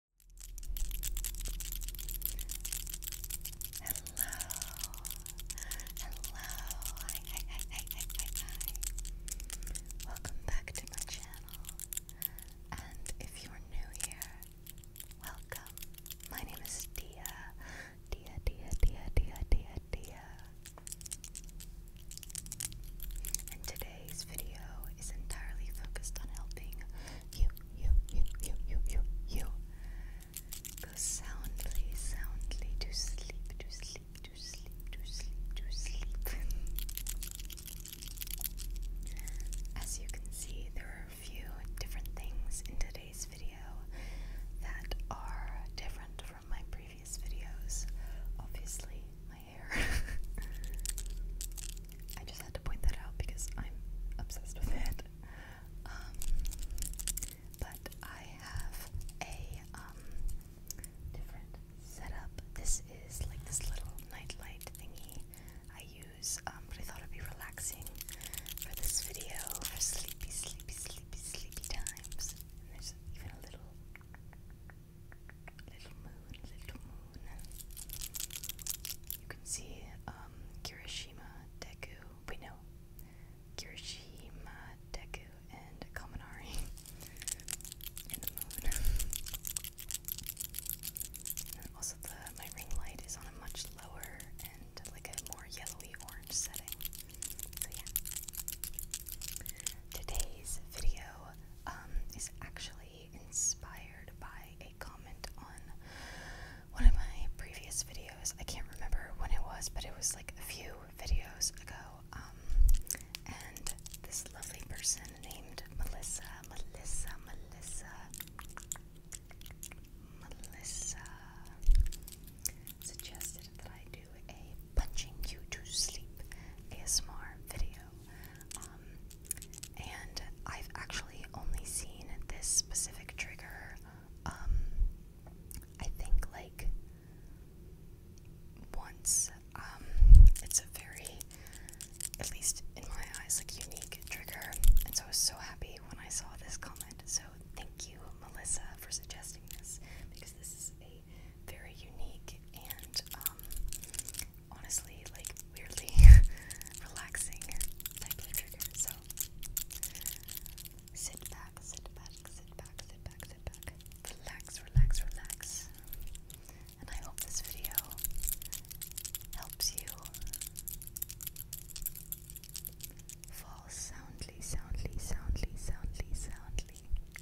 Hello, hello, hi, hi, hi, hi, hi, hi, Welcome back to my channel. And if you're new here, welcome. My name is Dia, Dia, Dia, Dia, Dia, Dia. And today today's video is entirely focused on helping you, you, you, you, you, you, you go soundly, soundly to sleep, to sleep, to sleep, to sleep, to sleep. As you can see, there are a few different things in today's video that are different from my previous videos. Obviously, my I just had to point that out because I'm obsessed with it. Um, but I have a um, different setup. This is like this little nightlight thingy I use, um, but I thought it'd be relaxing for this video for sleepy, sleepy, sleepy, sleepy times. And there's even a little Little moon, little moon. You can see um, Kirishima Deku. We know Kirishima Deku and Kaminari in the moon. also, the my ring light is on a much lower and like a more yellowy orange setting. So yeah. Today's video um, is actually inspired by a comment on one of my previous videos. I can't remember when it was, but it was like a few videos ago. Um, and this lovely person named Melissa, Melissa, Melissa, Melissa suggested that I do a punching you to sleep ASMR video. Um, and I've actually only seen this specific trigger, um, I think, like once. Um, it's a very, at least in my eyes, like unique trigger. And so I was so happy when I saw this comment. So thank you, Melissa, for suggesting this because this is a very unique and honestly like weirdly relaxing type trigger. So sit back, sit back, sit back, sit back, sit back. Relax, relax, relax. And I hope this video helps you fall soundly, soundly, soundly, soundly, soundly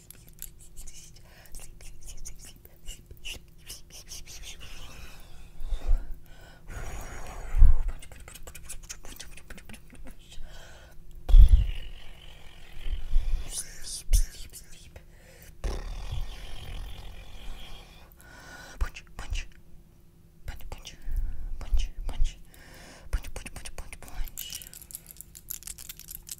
Punch, punch, punch, punch, punch, punch, punch, punch, punch, punch, punch.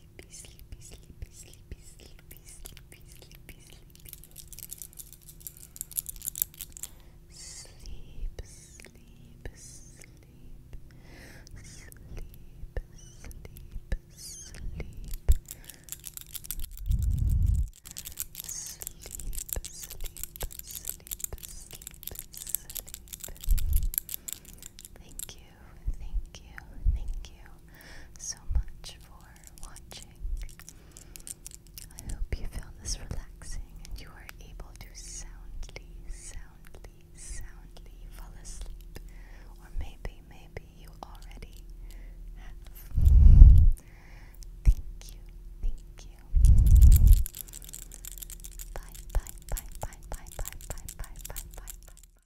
sleepy, sleepy, sleepy, sleepy, sleepy, sleepy, sleepy, sleepy. Sleep, sleep, sleep, sleep, sleep, sleep. Sleep, sleep, sleep, sleep, sleep. Thank you thank you, thank you so much for watching. I hope you found this relaxing and you are able to soundly, soundly, soundly fall asleep. Or maybe, maybe you already have. Thank you, thank you. bye, bye, bye, bye, bye, bye, bye, bye, bye, bye.